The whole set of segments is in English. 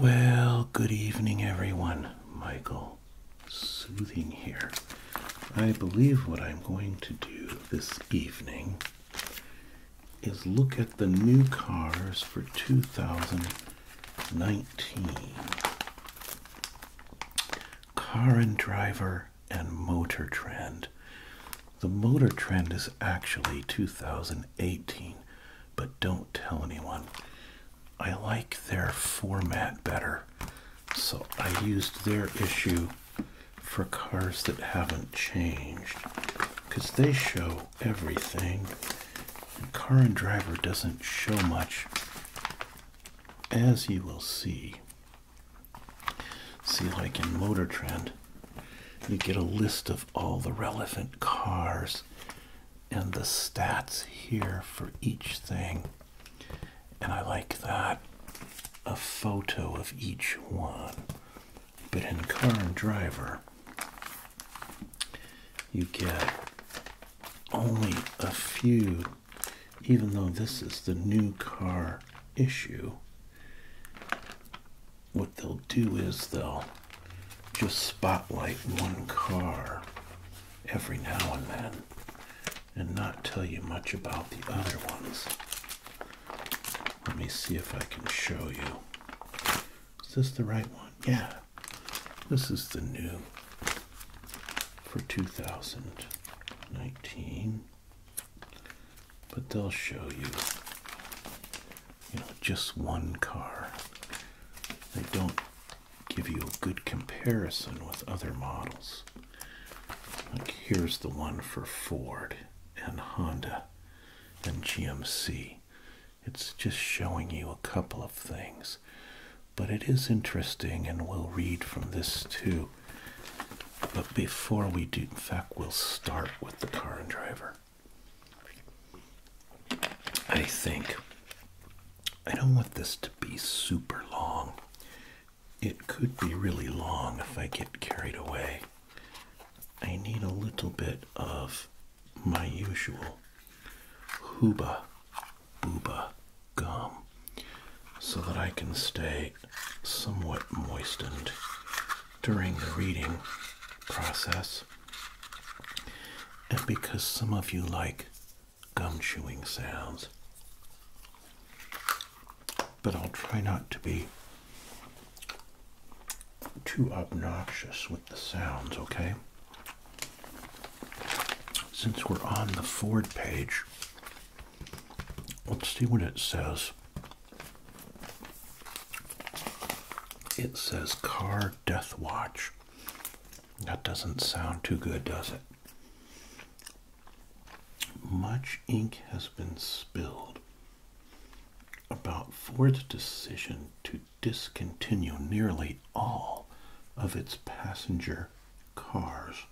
Well, good evening, everyone. Michael Soothing here. I believe what I'm going to do this evening is look at the new cars for 2019. Car and Driver and Motor Trend. The Motor Trend is actually 2018 but don't tell anyone. I like their format better. So I used their issue for cars that haven't changed because they show everything. And car and driver doesn't show much, as you will see. See, like in Motor Trend, you get a list of all the relevant cars and the stats here for each thing. And I like that a photo of each one. But in Car and Driver, you get only a few, even though this is the new car issue. What they'll do is they'll just spotlight one car every now and then and not tell you much about the other ones. Let me see if I can show you. Is this the right one? Yeah. This is the new for 2019. But they'll show you you know just one car they don't give you a good comparison with other models like here's the one for Ford and Honda and GMC it's just showing you a couple of things but it is interesting and we'll read from this too but before we do in fact we'll start with the car and driver I think I don't want this to be super long. It could be really long if I get carried away. I need a little bit of my usual hooba booba gum so that I can stay somewhat moistened during the reading process and because some of you like gum chewing sounds. But I'll try not to be too obnoxious with the sounds, okay? Since we're on the Ford page, let's see what it says. It says car Death Watch. That doesn't sound too good, does it? Much ink has been spilled about Ford's decision to discontinue nearly all of its passenger cars.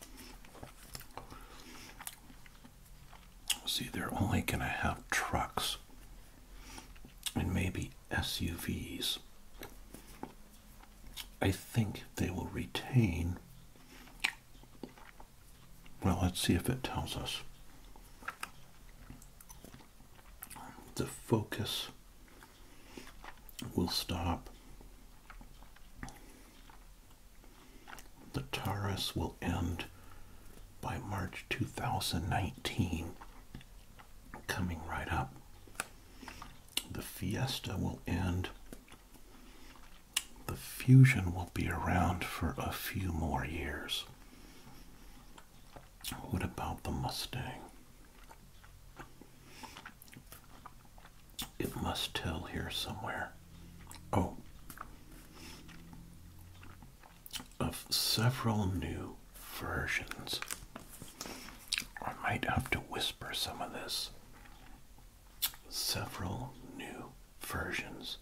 See, they're only going to have trucks and maybe SUVs. I think they will retain. Well, let's see if it tells us. The focus will stop. The Taurus will end by March 2019 coming right up. The Fiesta will end. The Fusion will be around for a few more years. What about the Mustang? It must tell here somewhere. Oh. Of several new versions. I might have to whisper some of this. Several new versions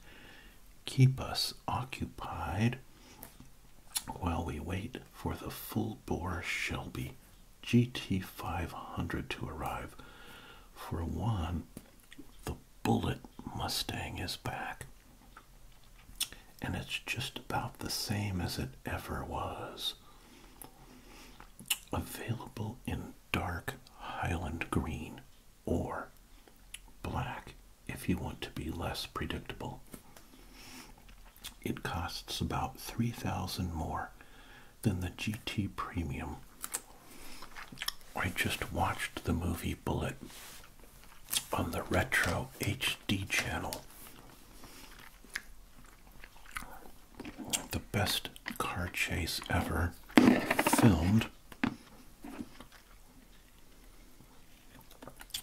keep us occupied while we wait for the full bore Shelby GT500 to arrive. For one, the Bullet Mustang is back and it's just about the same as it ever was. Available in dark Highland green or black if you want to be less predictable. It costs about 3000 more than the GT Premium. I just watched the movie Bullet on the Retro HD channel the best car chase ever filmed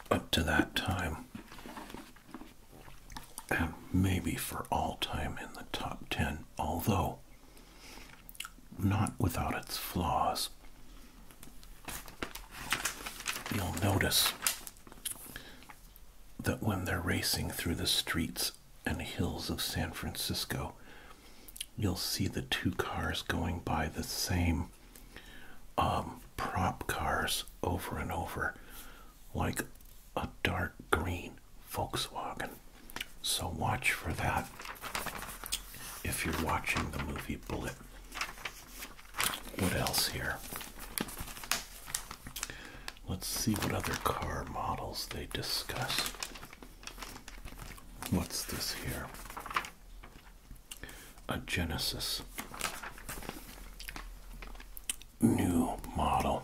up to that time and maybe for all time in the top 10 although not without its flaws you'll notice that when they're racing through the streets and hills of San Francisco, you'll see the two cars going by the same um, prop cars over and over, like a dark green Volkswagen. So watch for that if you're watching the movie Bullet. What else here? Let's see what other car models they discuss. What's this here? A Genesis new model.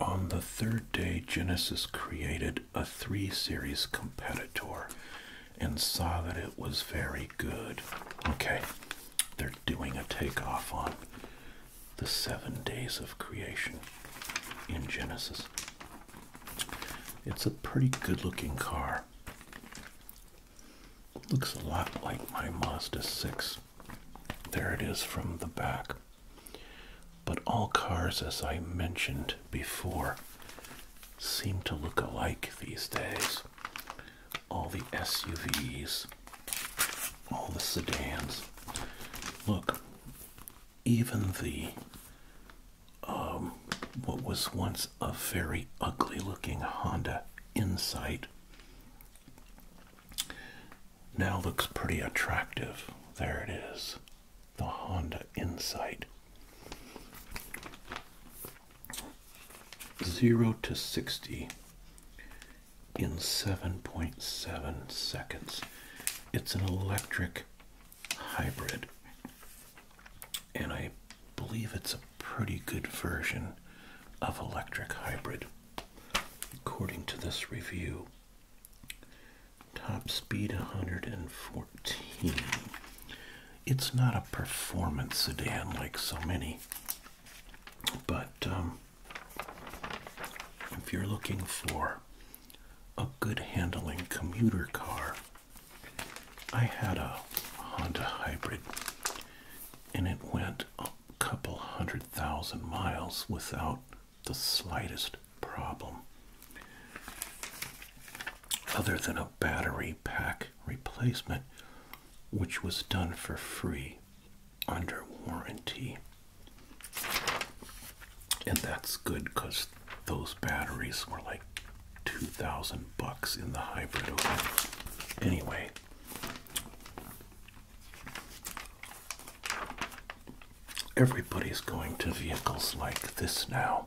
On the third day, Genesis created a 3 Series competitor and saw that it was very good. Okay, they're doing a takeoff on the seven days of creation in Genesis. It's a pretty good looking car. Looks a lot like my Mazda 6. There it is from the back. But all cars, as I mentioned before, seem to look alike these days all the SUVs, all the sedans. Look, even the um, what was once a very ugly looking Honda Insight now looks pretty attractive. There it is, the Honda Insight. 0 to 60 in 7.7 seconds. It's an electric hybrid, and I believe it's a pretty good version of electric hybrid. According to this review, top speed 114 it's not a performance sedan like so many, but um, if you're looking for a good handling commuter car, I had a Honda Hybrid and it went a couple hundred thousand miles without the slightest problem. Other than a battery pack replacement, which was done for free under warranty. And that's good because those batteries were like 2000 bucks in the hybrid Anyway, everybody's going to vehicles like this now.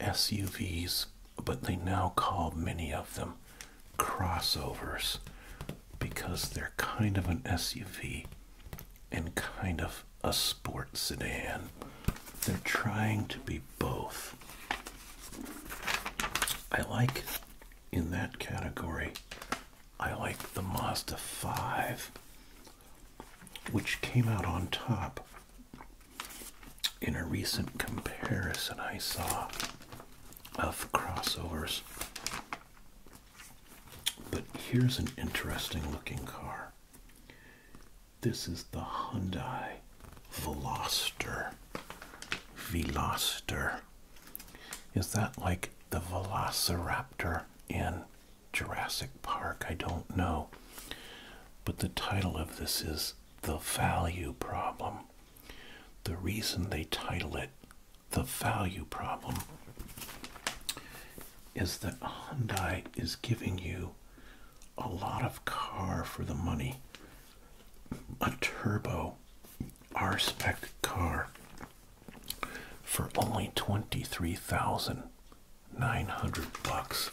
SUVs, but they now call many of them crossovers because they're kind of an SUV and kind of a sports sedan. They're trying to be both. I like in that category, I like the Mazda 5, which came out on top in a recent comparison I saw of crossovers. But here's an interesting looking car. This is the Hyundai Veloster. Veloster. Is that like the Velociraptor in Jurassic Park? I don't know. But the title of this is the value problem. The reason they title it the value problem is that Hyundai is giving you a lot of car for the money. A turbo R spec car for only 23,900 bucks.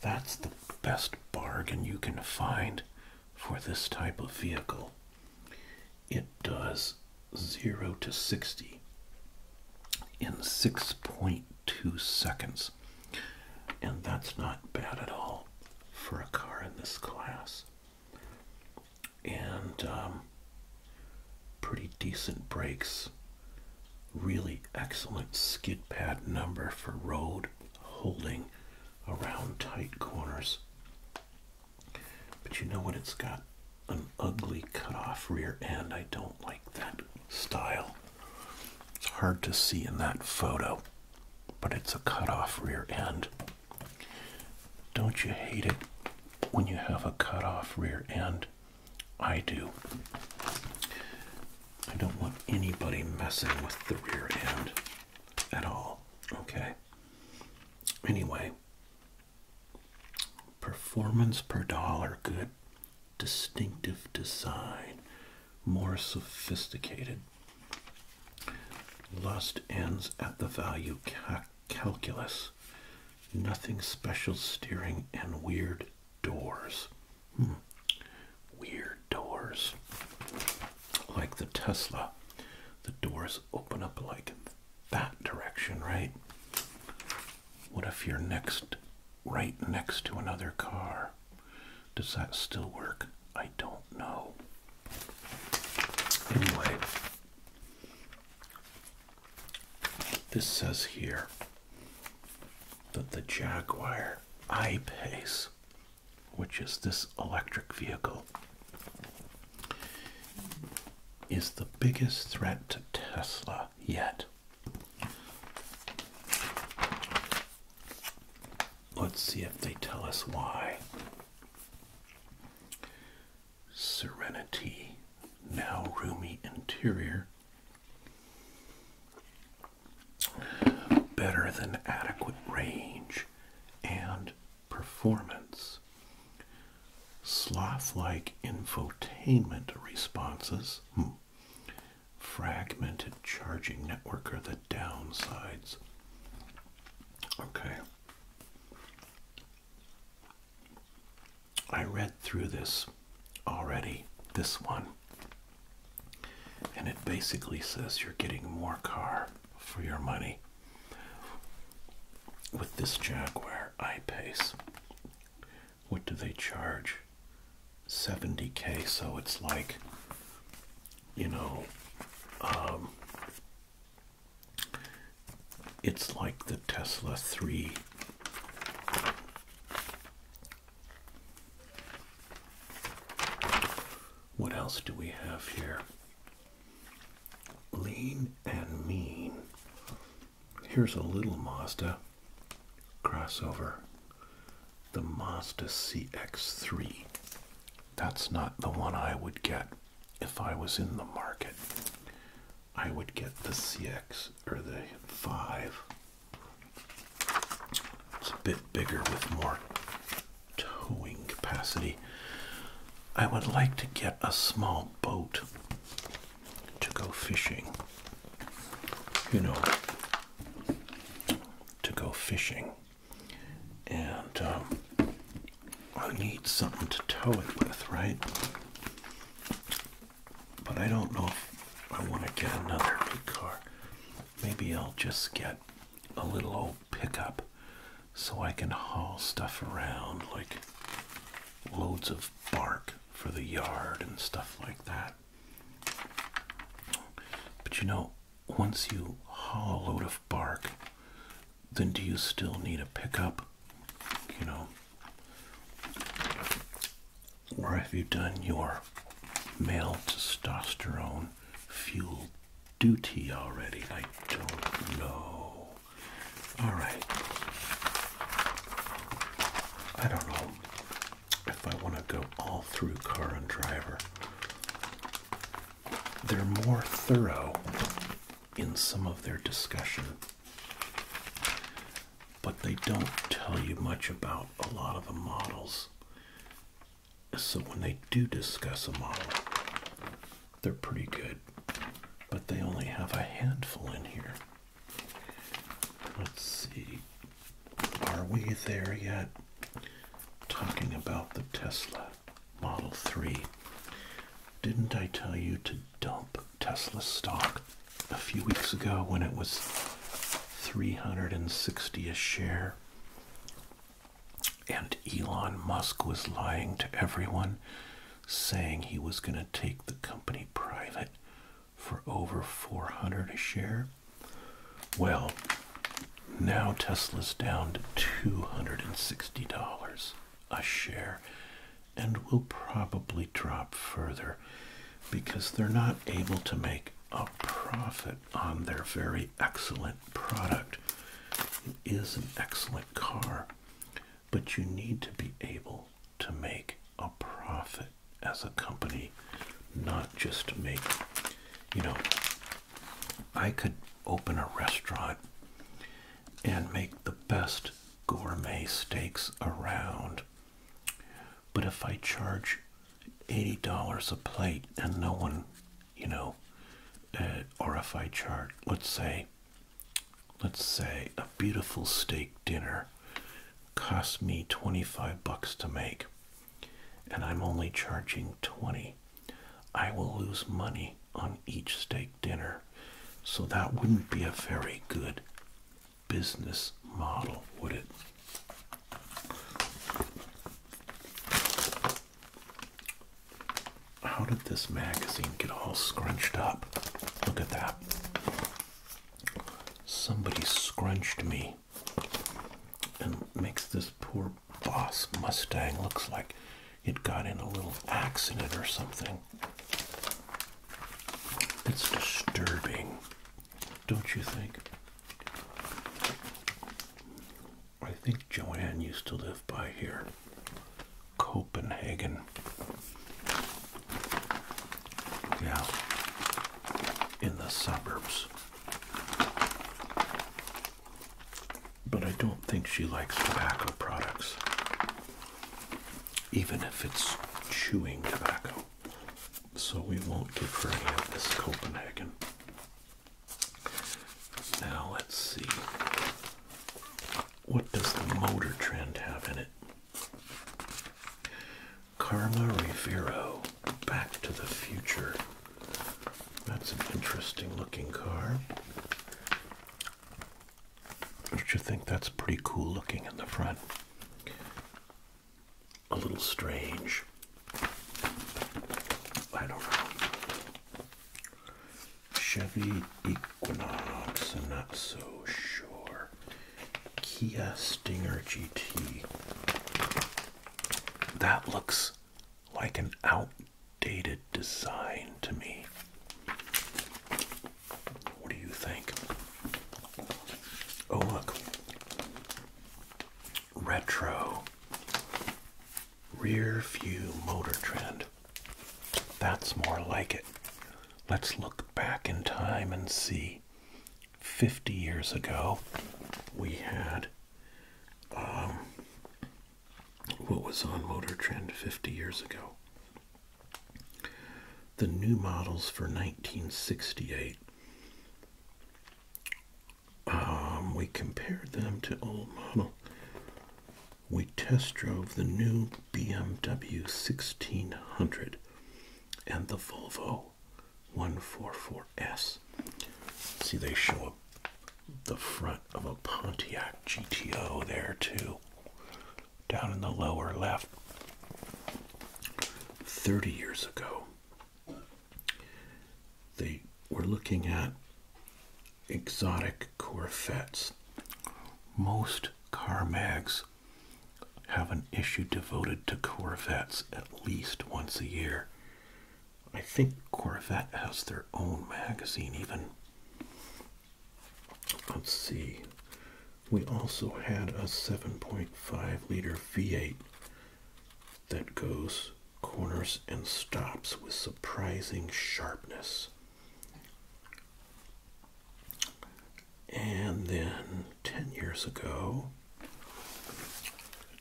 That's the best bargain you can find for this type of vehicle. It does 0 to 60 in 6.2 seconds. And that's not bad at all for a car in this class. And um, pretty decent brakes really excellent skid pad number for road holding around tight corners. But you know what? It's got an ugly cut-off rear end. I don't like that style. It's hard to see in that photo, but it's a cut-off rear end. Don't you hate it when you have a cut-off rear end? I do. I don't want anybody messing with the rear end at all. Okay. Anyway, performance per dollar, good, distinctive design, more sophisticated. Lust ends at the value calculus. Nothing special steering and weird doors. Hmm. Weird doors. Like the Tesla, the doors open up like that direction, right? What if you're next, right next to another car? Does that still work? I don't know. Anyway, this says here that the Jaguar I-Pace which is this electric vehicle, is the biggest threat to Tesla yet. Let's see if they tell us why. Serenity, now roomy interior, better than adequate range and performance. Sloth like infotainment responses, hmm. fragmented charging network are the downsides. Okay. I read through this already, this one, and it basically says you're getting more car for your money with this Jaguar I-Pace. What do they charge? 70k, so it's like, you know, um, it's like the Tesla 3 what else do we have here? Lean and mean. Here's a little Mazda crossover. The Mazda CX3. That's not the one I would get if I was in the market. I would get the CX or the 5 it's a bit bigger with more towing capacity. I would like to get a small boat to go fishing. You know, to go fishing. And um, I need something to tow it with, right? But I don't know if I want to get another big car. Maybe I'll just get a little old pickup so I can haul stuff around like loads of bark for the yard and stuff like that. But you know, once you haul a load of bark, then do you still need a pickup? You know? Or have you done your male testosterone fuel duty already? I don't know. Alright. I don't know if I want to go all through car and driver. They're more thorough in some of their discussion, but they don't tell you much about a lot of the models. So when they do discuss a model, they're pretty good, but they only have a handful in here. Let's see. Are we there yet? Talking about the Tesla Model 3. Didn't I tell you to dump Tesla stock a few weeks ago when it was 360 a share? And Elon Musk was lying to everyone, saying he was going to take the company private for over 400 a share. Well, now Tesla's down to $260 a share and will probably drop further because they're not able to make a profit on um, their very excellent product. It is an excellent car, but you need to be able to make a profit as a company, not just make, you know, I could open a restaurant and make the best gourmet steaks around. But if I charge $80 a plate and no one, you know, uh, RFI chart, let's say, let's say a beautiful steak dinner cost me 25 bucks to make and I'm only charging 20. I will lose money on each steak dinner. So that wouldn't be a very good business model, would it? How did this magazine get all scrunched up? Look at that. Somebody scrunched me and makes this poor boss Mustang looks like it got in a little accident or something. It's disturbing, don't you think? I think Joanne used to live by here, Copenhagen. Yeah, in the suburbs. But I don't think she likes tobacco products, even if it's chewing tobacco. So we won't give her any of this Copenhagen. Now let's see. What does the motor trend have in it? Karma Rivero, Back to the Future. That's an interesting looking car. Don't you think that's pretty cool looking in the front? a little strange. I don't know. Chevy Equinox, I'm not so sure. Kia Stinger GT. That looks like an outdated design to me. What do you think? Oh, look retro rear view motor trend. That's more like it. Let's look back in time and see. 50 years ago, we had um, what was on Motor Trend 50 years ago. The new models for 1968 um, we compared them to old model. We test drove the new BMW 1600 and the Volvo 144S. See, they show up the front of a Pontiac GTO there, too, down in the lower left. 30 years ago, they were looking at exotic Corvettes. Most car mags have an issue devoted to Corvettes at least once a year. I think Corvette has their own magazine, even. Let's see. We also had a 7.5 liter V8 that goes corners and stops with surprising sharpness. And then 10 years ago,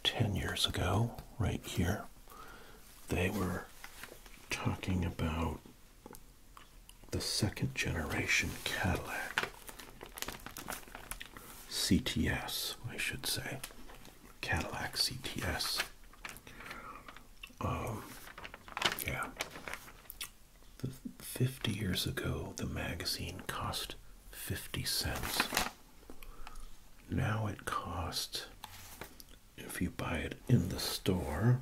10 years ago, right here, they were talking about the second generation Cadillac. CTS, I should say. Cadillac CTS. Um, yeah. 50 years ago, the magazine cost 50 cents. Now it costs, if you buy it in the store,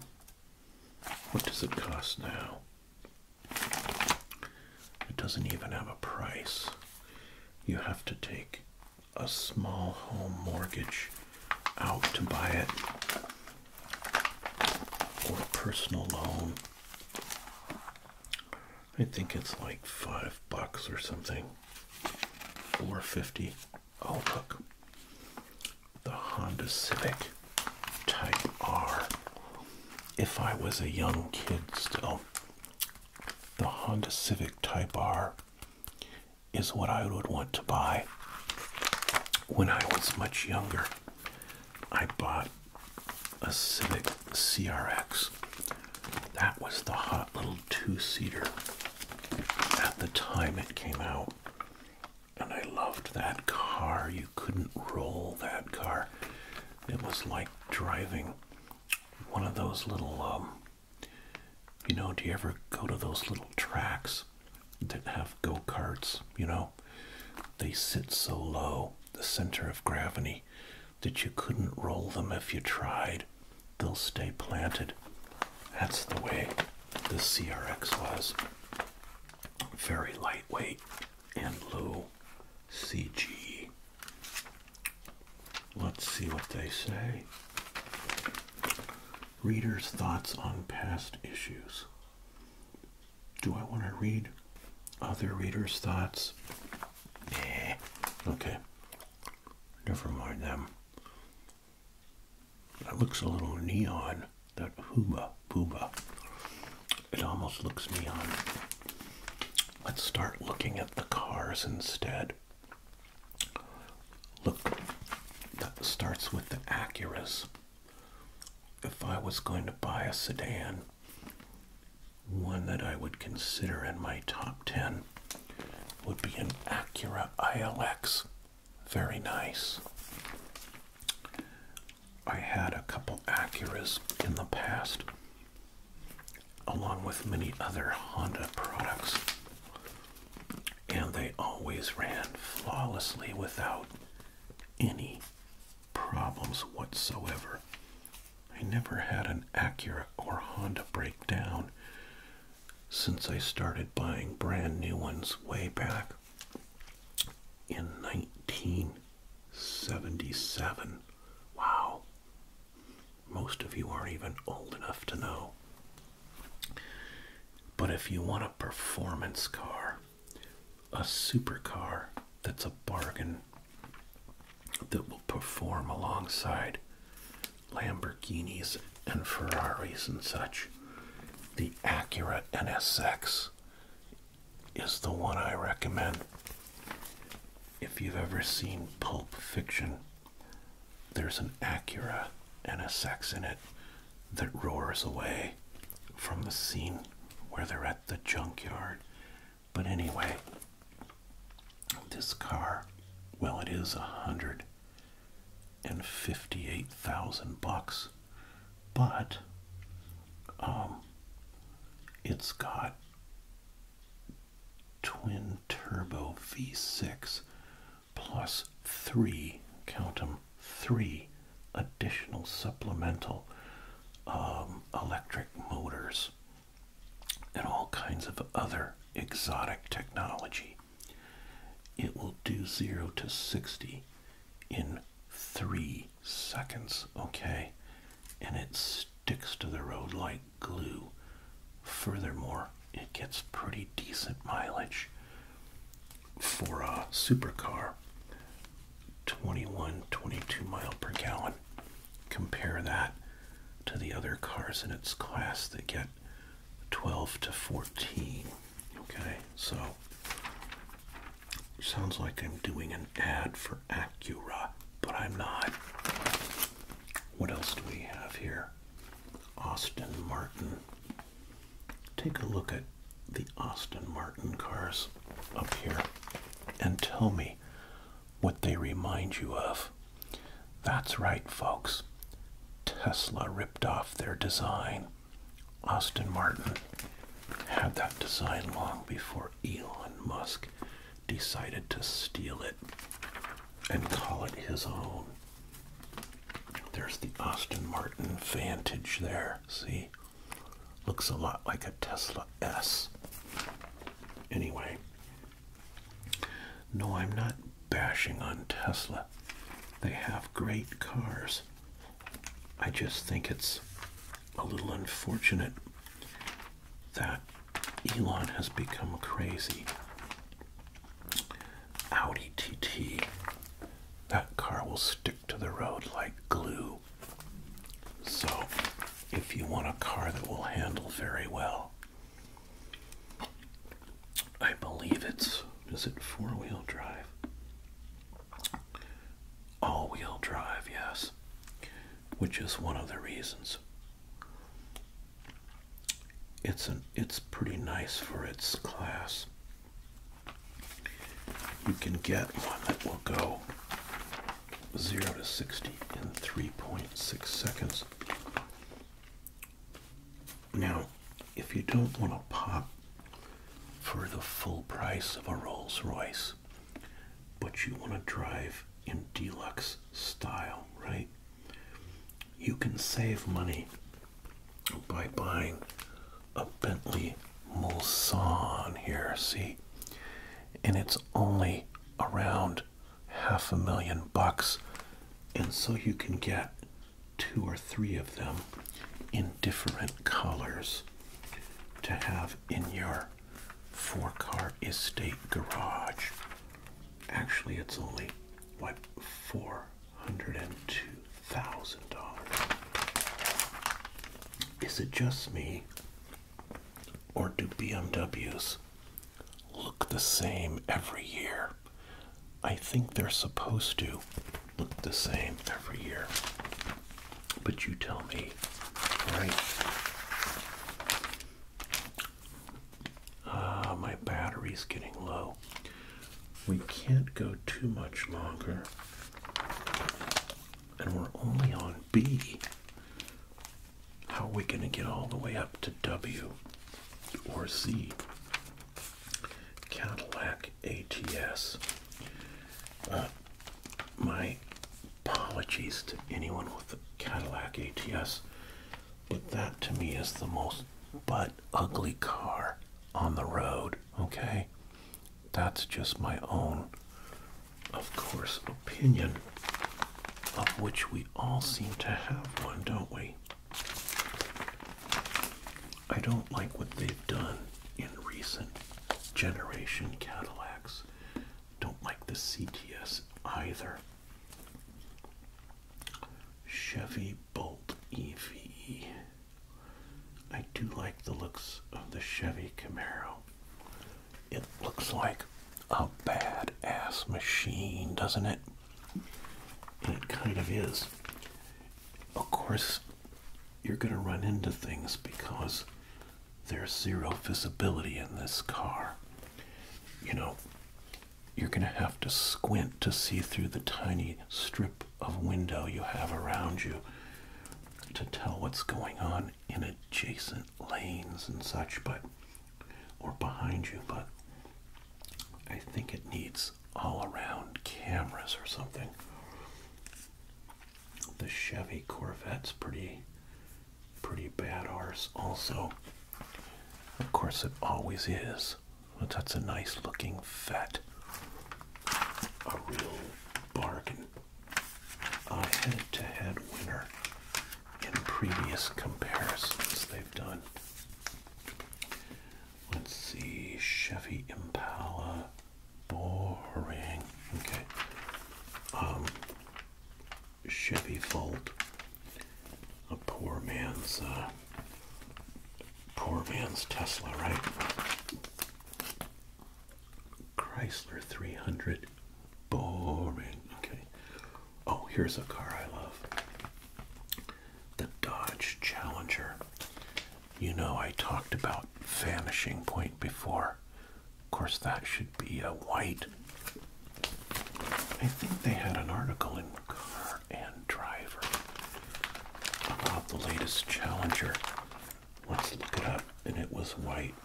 what does it cost now? It doesn't even have a price. You have to take a small home mortgage out to buy it or a personal loan. I think it's like five bucks or something. 450. Oh look. The Honda Civic Type R. If I was a young kid still, the Honda Civic Type R is what I would want to buy when I was much younger. I bought a Civic CRX. That was the hot little two seater at the time it came out. And I loved that car. You couldn't roll that car. It was like driving one of those little um, you know, do you ever go to those little tracks that have go karts? You know, they sit so low, the center of gravity, that you couldn't roll them if you tried. They'll stay planted. That's the way the CRX was. Very lightweight and low CG. Let's see what they say. Readers' thoughts on past issues. Do I want to read other readers' thoughts? Yeah. Okay. Never mind them. That looks a little neon. That hooba booba. It almost looks neon. Let's start looking at the cars instead. Look, that starts with the Acuras. If I was going to buy a sedan, one that I would consider in my top 10 would be an Acura ILX. Very nice. I had a couple Acuras in the past along with many other Honda products. And they always ran flawlessly without any problems whatsoever. I never had an Acura or Honda breakdown since I started buying brand new ones way back in 1977. Wow. Most of you aren't even old enough to know. But if you want a performance car, a supercar that's a bargain that will perform alongside Lamborghinis and Ferraris and such, the Acura NSX is the one I recommend. If you've ever seen Pulp Fiction, there's an Acura and a NSX in it that roars away from the scene where they're at the junkyard. But anyway, this car, well, it is a hundred and fifty-eight thousand bucks, but um, it's got twin turbo V6 plus three, count them, three additional supplemental um, electric motors and all kinds of other exotic technology. It will do 0 to 60 in 3 seconds, okay? And it sticks to the road like glue. Furthermore, it gets pretty decent mileage for a supercar 21 22 mile per gallon. Compare that to the other cars in its class that get 12 to 14. Okay, so sounds like I'm doing an ad for Acura, but I'm not. What else do we have here? Austin Martin. Take a look at the Austin Martin cars up here and tell me what they remind you of. That's right, folks. Tesla ripped off their design. Austin Martin had that design long before Elon Musk decided to steal it and call it his own. There's the Austin Martin Vantage there. See? Looks a lot like a Tesla S. Anyway, no, I'm not bashing on Tesla. They have great cars. I just think it's a little unfortunate that Elon has become crazy Audi TT. That car will stick to the road like glue. So, if you want a car that will handle very well, I believe it's, is it four wheel drive? All wheel drive, yes, which is one of the reasons it's an it's pretty nice for its class. You can get one that will go 0 to 60 in 3.6 seconds. Now, if you don't want to pop for the full price of a Rolls Royce, but you want to drive in deluxe style, right? You can save money by buying a Bentley Mulsanne here, see? And it's only around half a million bucks. And so you can get two or three of them in different colors to have in your four car estate garage. Actually, it's only why four hundred and two thousand dollars. Is it just me? Or do BMWs look the same every year? I think they're supposed to look the same every year. But you tell me, right? Ah, my battery's getting low. We can't go too much longer. And we're only on B. How are we going to get all the way up to W or Z? Cadillac ATS. Uh, my apologies to anyone with a Cadillac ATS. But that to me is the most but ugly car on the road, okay? That's just my own, of course, opinion, of which we all seem to have one, don't we? I don't like what they've done in recent generation Cadillacs. Don't like the CTS either. Chevy Bolt EV. I do like the looks of the Chevy Camaro. It looks like a bad-ass machine, doesn't it? it kind of is. Of course, you're going to run into things because there's zero visibility in this car. You know, you're going to have to squint to see through the tiny strip of window you have around you to tell what's going on in adjacent lanes and such, but or behind you, but I think it needs all around cameras or something. The Chevy Corvette's pretty pretty bad arse also. Of course it always is. Well, that's a nice looking vet. A real bargain. A head to head winner in previous comparisons they've done. Let's see, Chevy Impala. Boring. Okay. Um, Chevy Volt a poor man's uh, poor man's Tesla, right? Chrysler 300, boring. Okay. Oh, here's a car I love. The Dodge Challenger. You know, I talked about Vanishing Point before. Of course, that should be a white I think they had an article in Car and Driver about the latest Challenger. Let's look it up, and it was white.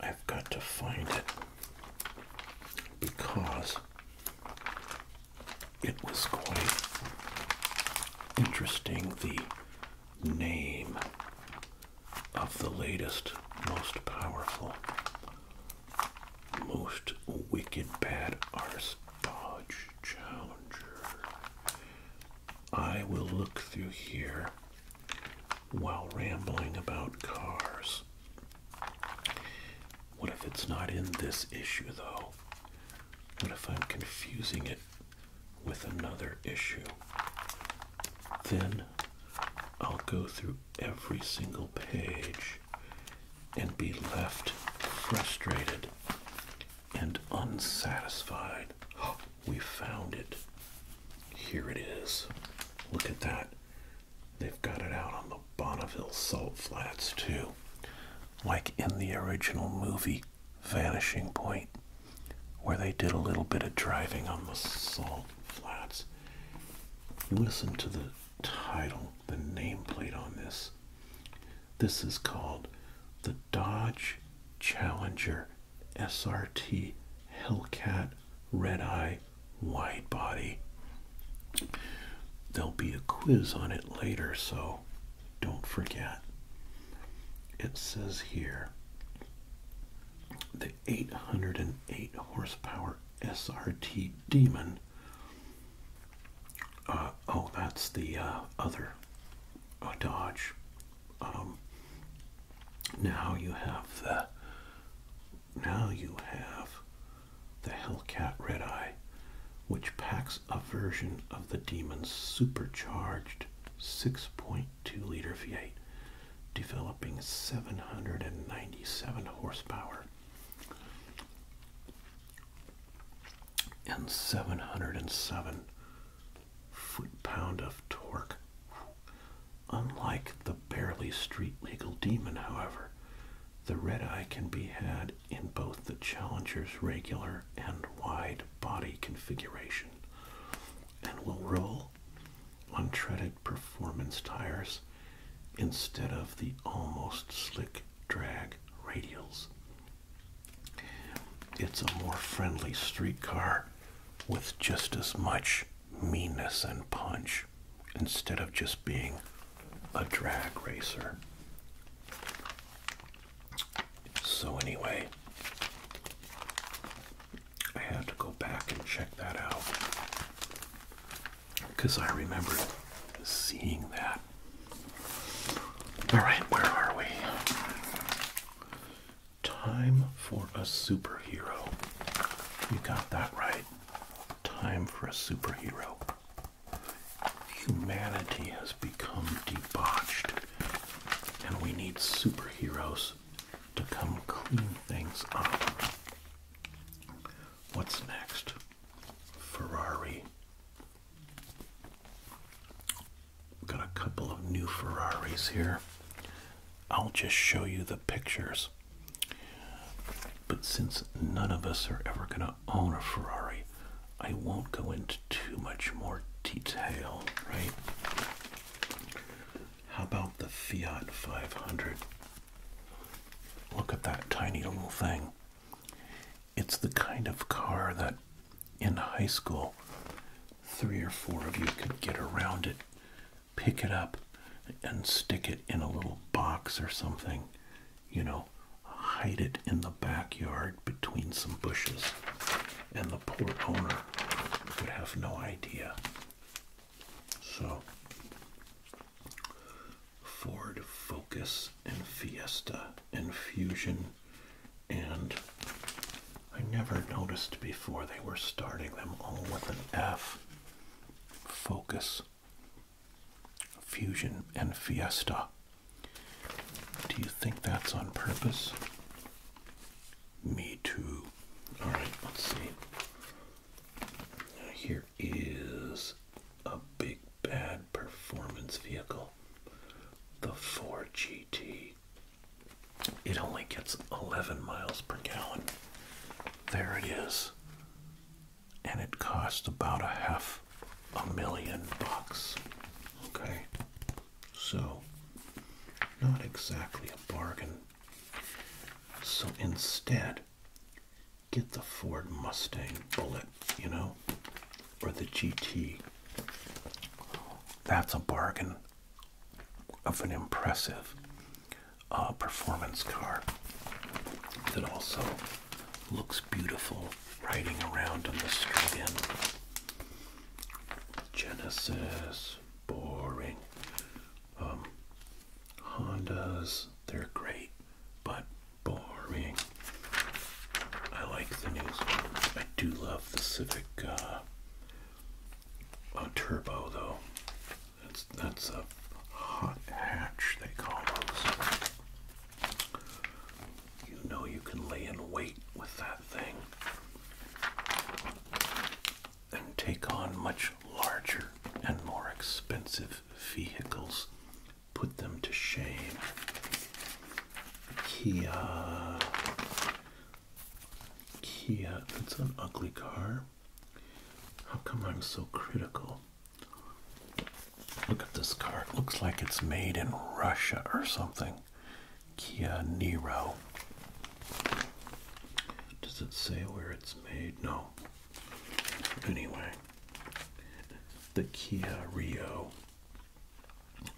I've got to find it because it was quite interesting the name of the latest, most powerful most wicked bad arse bodge challenger. I will look through here while rambling about cars. What if it's not in this issue though? What if I'm confusing it with another issue? Then I'll go through every single page and be left frustrated and unsatisfied. Oh, we found it. Here it is. Look at that. They've got it out on the Bonneville Salt Flats, too. Like in the original movie Vanishing Point, where they did a little bit of driving on the salt flats. Listen to the title, the nameplate on this. This is called the Dodge Challenger SRT Hellcat Red Eye Wide Body. There'll be a quiz on it later, so don't forget. It says here the 808 horsepower SRT Demon uh, oh, that's the uh, other uh, Dodge. Um, now you have the now you have the Hellcat Red Eye, which packs a version of the Demon's supercharged 6.2 liter V8, developing 797 horsepower and 707 foot pound of torque. Unlike the barely street legal demon, however, the red eye can be had in both the Challenger's regular and wide body configuration and will roll on treaded performance tires instead of the almost slick drag radials. It's a more friendly streetcar with just as much meanness and punch instead of just being a drag racer. So anyway, I had to go back and check that out because I remember seeing that. All right, where are we? Time for a superhero. You got that right. Time for a superhero. Humanity has become debauched, and we need superheroes to come clean things up. What's next? Ferrari. We've got a couple of new Ferraris here. I'll just show you the pictures. But since none of us are ever going to own a Ferrari, I won't go into too much more detail, right? How about the Fiat 500? Look at that tiny little thing. It's the kind of car that in high school, three or four of you could get around it, pick it up, and stick it in a little box or something. You know, hide it in the backyard between some bushes. And the poor owner would have no idea. So, Ford Focus and Fiesta and Fusion, and I never noticed before they were starting them all with an F. Focus, Fusion, and Fiesta. Do you think that's on purpose? Me too. Alright, let's see. Here is a big bad performance vehicle, the Ford GT. It only gets 11 miles per gallon. There it is. And it costs about a half a million bucks. Okay? So, not exactly a bargain. So instead, get the Ford Mustang Bullet, you know, or the GT. That's a bargain of an impressive uh, performance car that also looks beautiful riding around on the street in Genesis, boring. Um, Hondas, they're great, but boring. I like the new ones. I do love the Civic uh, uh, Turbo though. That's that's a hot hatch they call those. You know you can lay in wait with that thing and take on much larger and more expensive vehicles put them to shame. Kia. Kia. That's an ugly car. How come I'm so critical? Look at this car. looks like it's made in Russia or something. Kia Nero. Does it say where it's made? No. Anyway, the Kia Rio.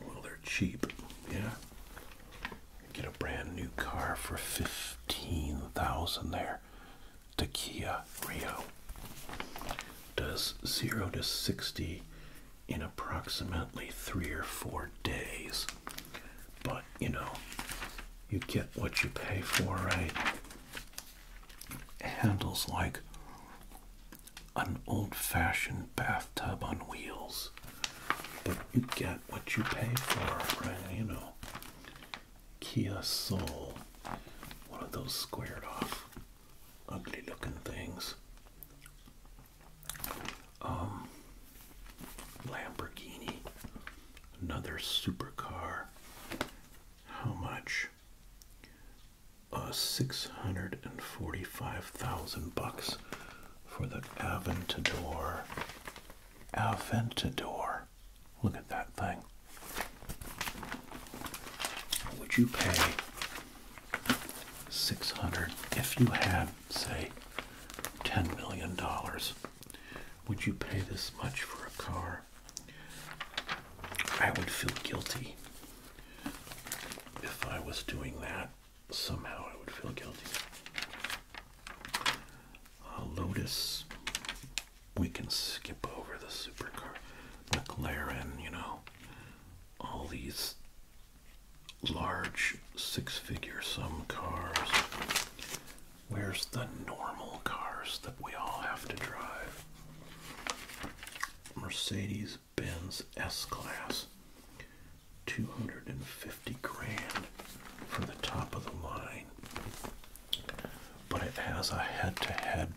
Well, they're cheap, yeah. Get a brand new car for fifteen thousand there. The Kia Rio does zero to sixty in approximately three or four days, but you know, you get what you pay for, right? handles like an old fashioned bathtub on wheels. But you get what you pay for, right? You know, Kia Soul, one of those squared off, ugly looking things. Um, Lamborghini, another supercar. How much? much? six hundred and forty-five thousand bucks for the Aventador. Aventador. Look at that thing. Would you pay six hundred if you had, say, ten million dollars? Would you pay this much for a car? I would feel guilty if I was doing that. Somehow I would feel guilty. Uh, Lotus, we can skip over the supercar. McLaren, you know, all these large six figure sum cars. Where's the normal cars that we all have to drive? Mercedes Benz S Class. 250 grand for the top of the line. But it has a head to head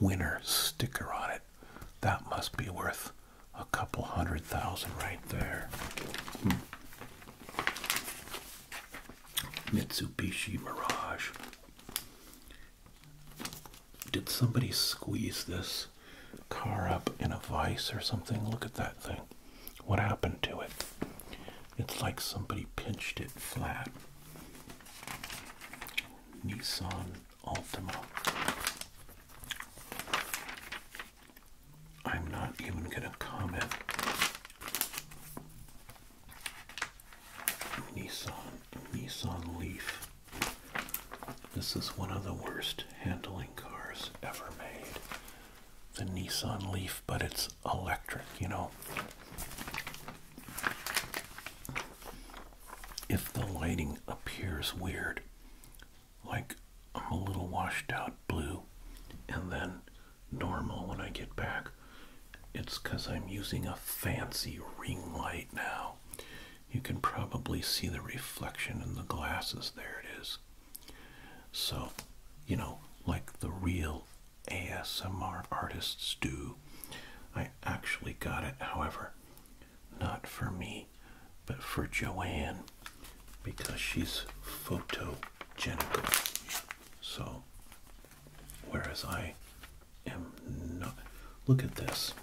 winner sticker on it. That must be worth a couple hundred thousand right there. Hmm. Mitsubishi Mirage did somebody squeeze this car up in a vise or something? Look at that thing. What happened to it? It's like somebody pinched it flat. Nissan Altima. I'm not even going to comment Nissan Nissan Leaf. This is one of the worst handling cars ever made. The Nissan Leaf, but it's electric, you know. If the lighting appears weird, like I'm a little washed out blue and then normal when I get back, it's because I'm using a fancy ring light now. You can probably see the reflection in the glasses. There it is. So, you know, like the real ASMR artists do. I actually got it, however, not for me, but for Joanne because she's photogenic. So Whereas I am not. Look at this.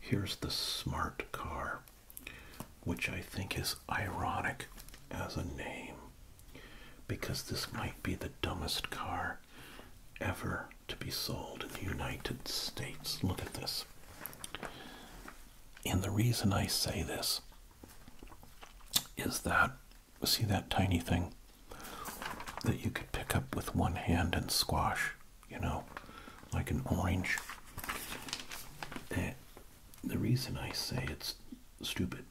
Here's the smart car, which I think is ironic as a name because this might be the dumbest car ever to be sold in the United States. Look at this. And the reason I say this is that see that tiny thing that you could pick up with one hand and squash, you know, like an orange. the reason I say it's stupid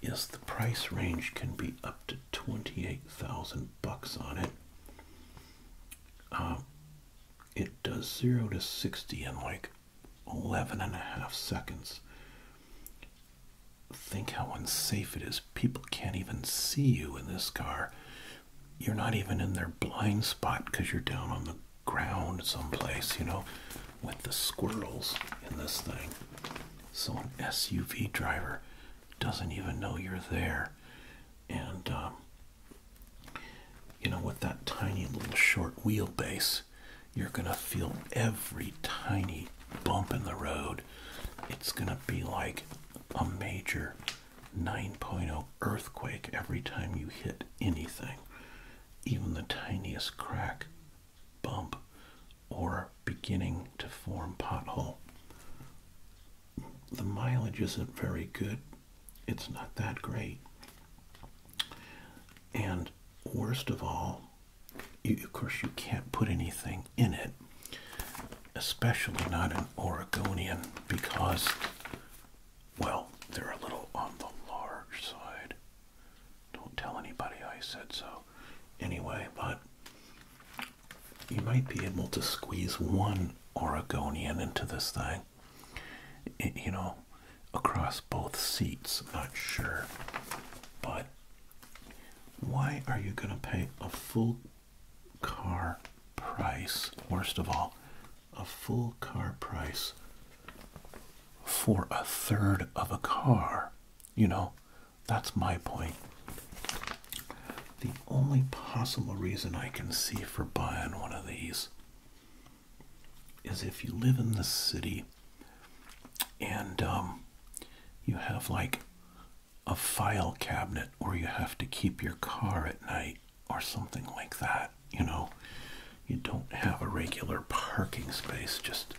is the price range can be up to 28,000 bucks on it. Um, it does 0 to 60 in like 11 and a half seconds. Think how unsafe it is. People can't even see you in this car. You're not even in their blind spot because you're down on the ground someplace, you know, with the squirrels in this thing. So an SUV driver doesn't even know you're there. And, um, you know, with that tiny little short wheelbase, you're going to feel every tiny bump in the road. It's going to be like a major 9.0 earthquake every time you hit anything, even the tiniest crack, bump, or beginning to form pothole. The mileage isn't very good. It's not that great. And worst of all, of course, you can't put anything in it, especially not an Oregonian, because, well, they're a little on the large side. Don't tell anybody I said so. Anyway, but you might be able to squeeze one Oregonian into this thing. you know, across both seats. not sure, but why are you going to pay a full car price, worst of all, a full car price for a third of a car? You know, that's my point. The only possible reason I can see for buying one of these is if you live in the city and um, you have like a file cabinet where you have to keep your car at night or something like that, you know. You don't have a regular parking space, just,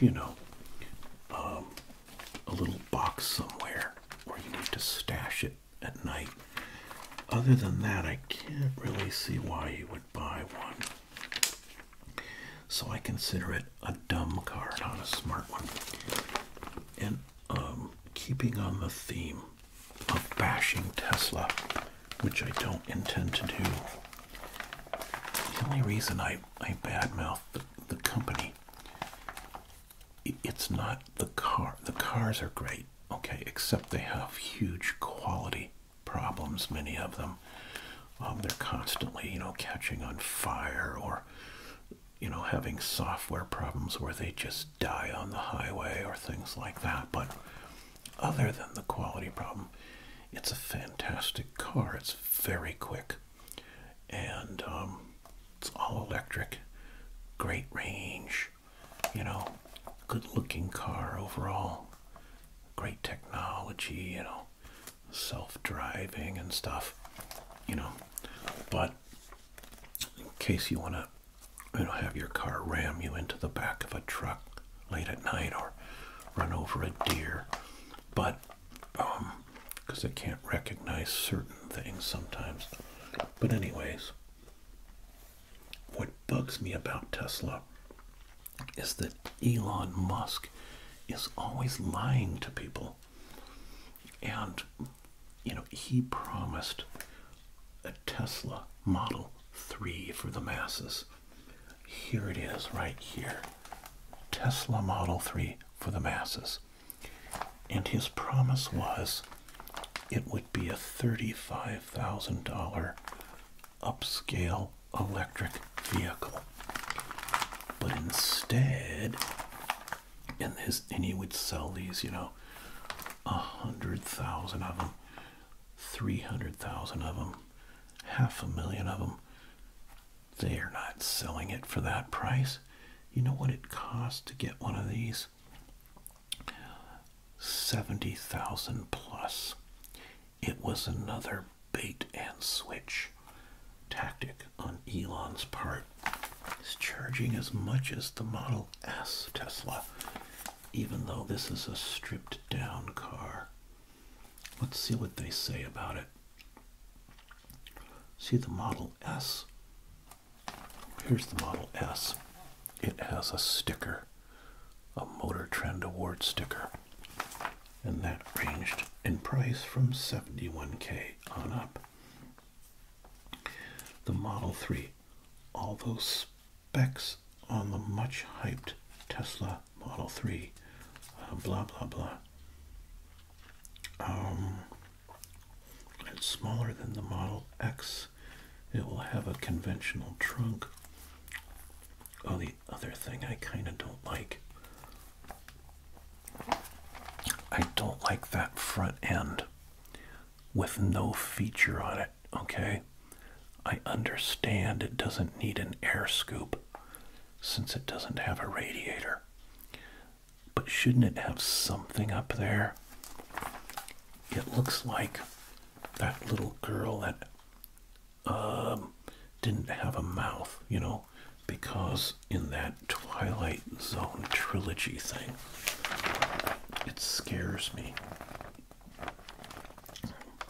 you know, um, a little box somewhere where you need to stash it at night. Other than that, I can't really see why you would buy one. So I consider it a dumb card, not a smart one. And um, keeping on the theme of bashing Tesla, which I don't intend to do, the only reason I, I badmouth the, the company, it's not the car. The cars are great, okay, except they have huge quality problems, many of them. Um, they're constantly you know catching on fire or you know having software problems where they just die on the highway or things like that but other than the quality problem it's a fantastic car it's very quick and um, it's all electric great range you know good looking car overall great technology you know self-driving and stuff, you know. But in case you want to, you know, have your car ram you into the back of a truck late at night or run over a deer, but um, because it can't recognize certain things sometimes. But anyways, what bugs me about Tesla is that Elon Musk is always lying to people. And, you know, he promised a Tesla Model 3 for the masses. Here it is, right here Tesla Model 3 for the masses. And his promise was it would be a $35,000 upscale electric vehicle. But instead, and he would sell these, you know, a hundred thousand of them, three hundred thousand of them, half a million of them. They are not selling it for that price. You know what it costs to get one of these? 70,000 plus. It was another bait and switch tactic on Elon's part. He's charging as much as the Model S Tesla, even though this is a stripped down car. Let's see what they say about it. See the Model S? Here's the Model S. It has a sticker, a Motor Trend Award sticker and that ranged in price from 71k on up. The Model 3, all those specs on the much hyped Tesla Model 3, uh, blah blah blah. Um, it's smaller than the Model X. It will have a conventional trunk. Oh, the other thing I kind of don't like I don't like that front end with no feature on it, okay? I understand it doesn't need an air scoop since it doesn't have a radiator. But shouldn't it have something up there? It looks like that little girl that um, didn't have a mouth, you know, because in that Twilight Zone trilogy thing, it scares me.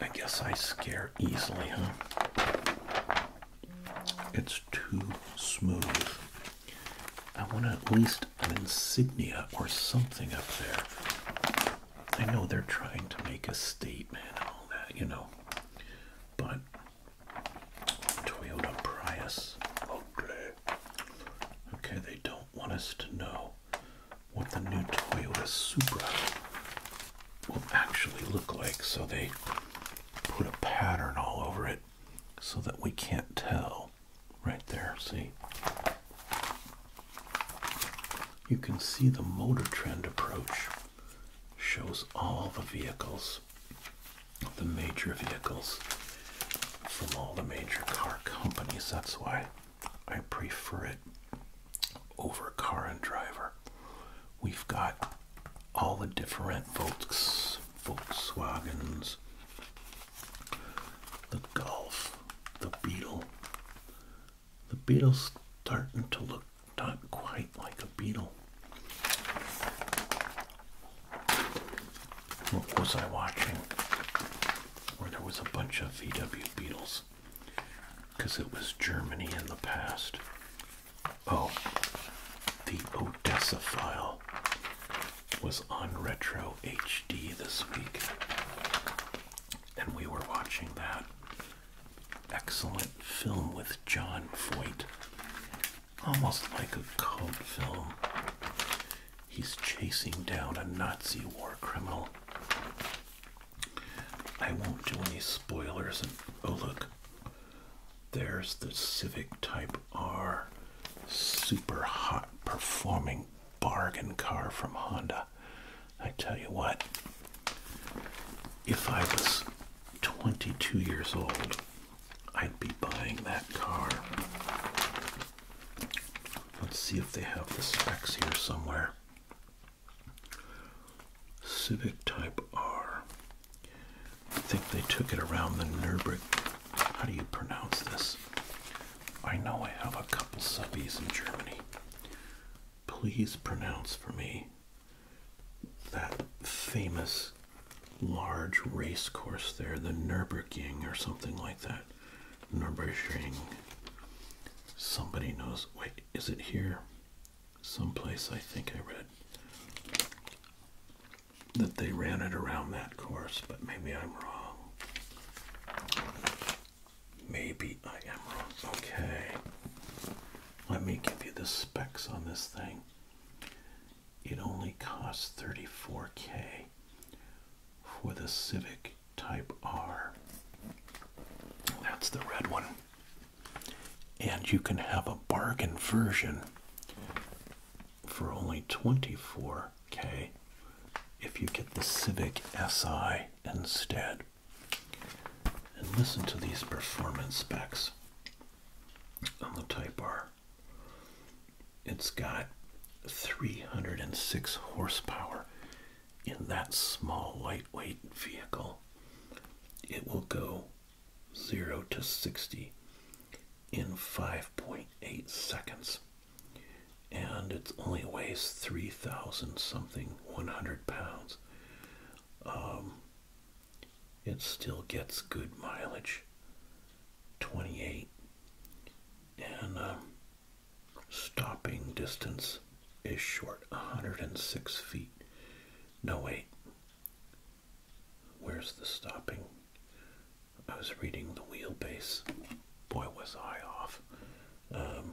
I guess I scare easily, huh? It's too smooth. I want at least an insignia or something up there. I know they're trying to make a statement and all that, you know, but Toyota Prius. Okay. they don't want us to know what the new Toyota Supra will actually look like, so they put a pattern all over it so that we can't tell. Right there, see? You can see the Motor Trend approach shows all the vehicles the major vehicles from all the major car companies. That's why I prefer it over Car and Driver. We've got all the different Volks, Volkswagens, the Golf, the Beetle. The Beetle's starting to look not quite like a beetle. What was I watching? Where there was a bunch of VW Beetles. Because it was Germany in the past. Oh, the Odessa file was on Retro HD this week. And we were watching that excellent film with John Foyt almost like a cult film. He's chasing down a Nazi war criminal. I won't do any spoilers. And oh, look, there's the Civic Type R super hot performing bargain car from Honda. I tell you what, if I was 22 years old, I'd be buying that car. Let's see if they have the specs here somewhere. Civic Type R. I think they took it around the Nürburgring. How do you pronounce this? I know I have a couple subbies in Germany. Please pronounce for me that famous large race course there, the Nürburgring or something like that. Nürburgring. Somebody knows. Wait, is it here? Someplace I think I read that they ran it around that course, but maybe I'm wrong. Maybe I am wrong. Okay. Let me give you the specs on this thing it only costs 34k for the Civic Type R. That's the red one. And you can have a bargain version for only 24k if you get the Civic SI instead. And listen to these performance specs on the Type R. It's got 306 horsepower in that small, lightweight vehicle. It will go 0 to 60 in 5.8 seconds. And it only weighs 3,000 something, 100 pounds. Um, it still gets good mileage 28 and um, stopping distance is short 106 feet no wait where's the stopping i was reading the wheelbase boy was i off um,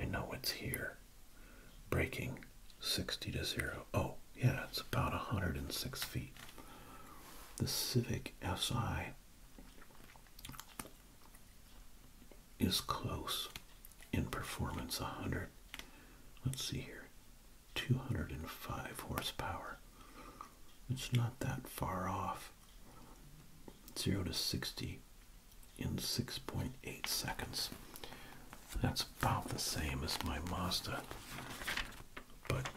i know it's here Breaking. 60 to 0. Oh, yeah, it's about 106 feet. The Civic SI is close in performance 100. Let's see here. 205 horsepower. It's not that far off. 0 to 60 in 6.8 seconds. That's about the same as my Mazda, but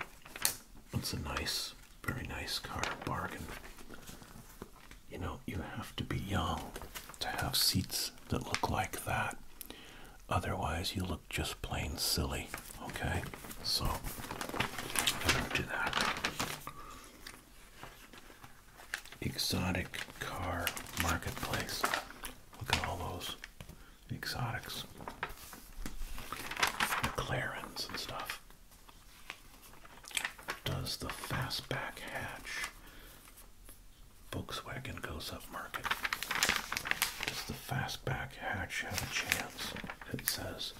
it's a nice, very nice car bargain. You know, you have to be young to have seats that look like that. Otherwise, you look just plain silly. Okay, so I do do that. Exotic car marketplace. Look at all those exotics, McLarens and stuff. Does the fastback hatch? Volkswagen goes up market. Does the fastback hatch have a chance? It says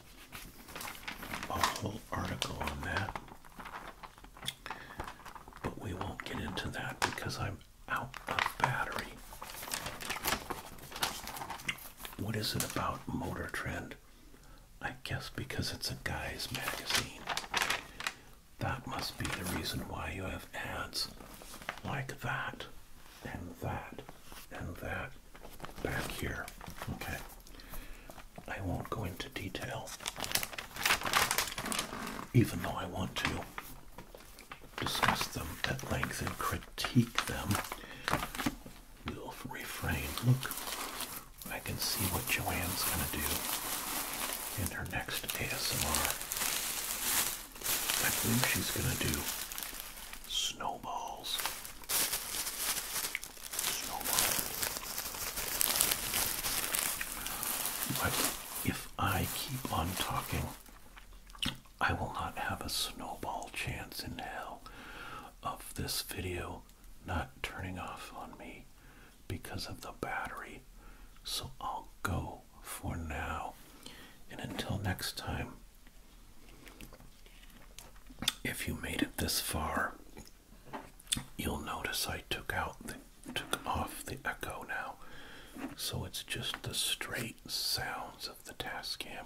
a whole article on that, but we won't get into that because I'm out of battery. What is it about Motor Trend? I guess because it's a guy's magazine. That must be the reason why you have ads like that and that and that back here. Okay. I won't go into detail, even though I want to discuss them at length and critique them, we'll refrain. Look, I can see what Joanne's going to do in her next ASMR. I believe she's going to do snowballs. if I keep on talking, I will not have a snowball chance in hell of this video not turning off on me because of the battery. So I'll go for now. And until next time, if you made it this far, you'll notice I took out the took off the echo now. So it's just the straight sounds of of the Tascam,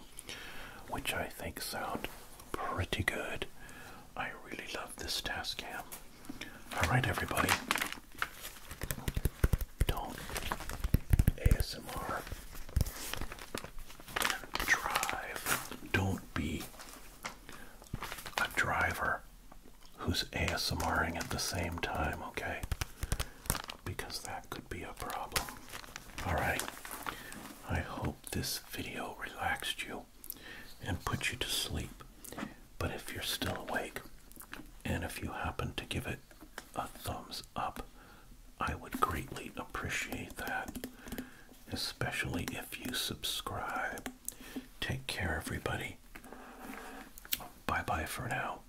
which I think sound pretty good. I really love this Tascam. Alright, everybody. Don't ASMR drive. Don't be a driver who's ASMRing at the same time, okay? because that could be a problem. Alright, I hope this video relaxed you and put you to sleep. But if you're still awake and if you happen to give it a thumbs up, I would greatly appreciate that, especially if you subscribe. Take care, everybody. Bye bye for now.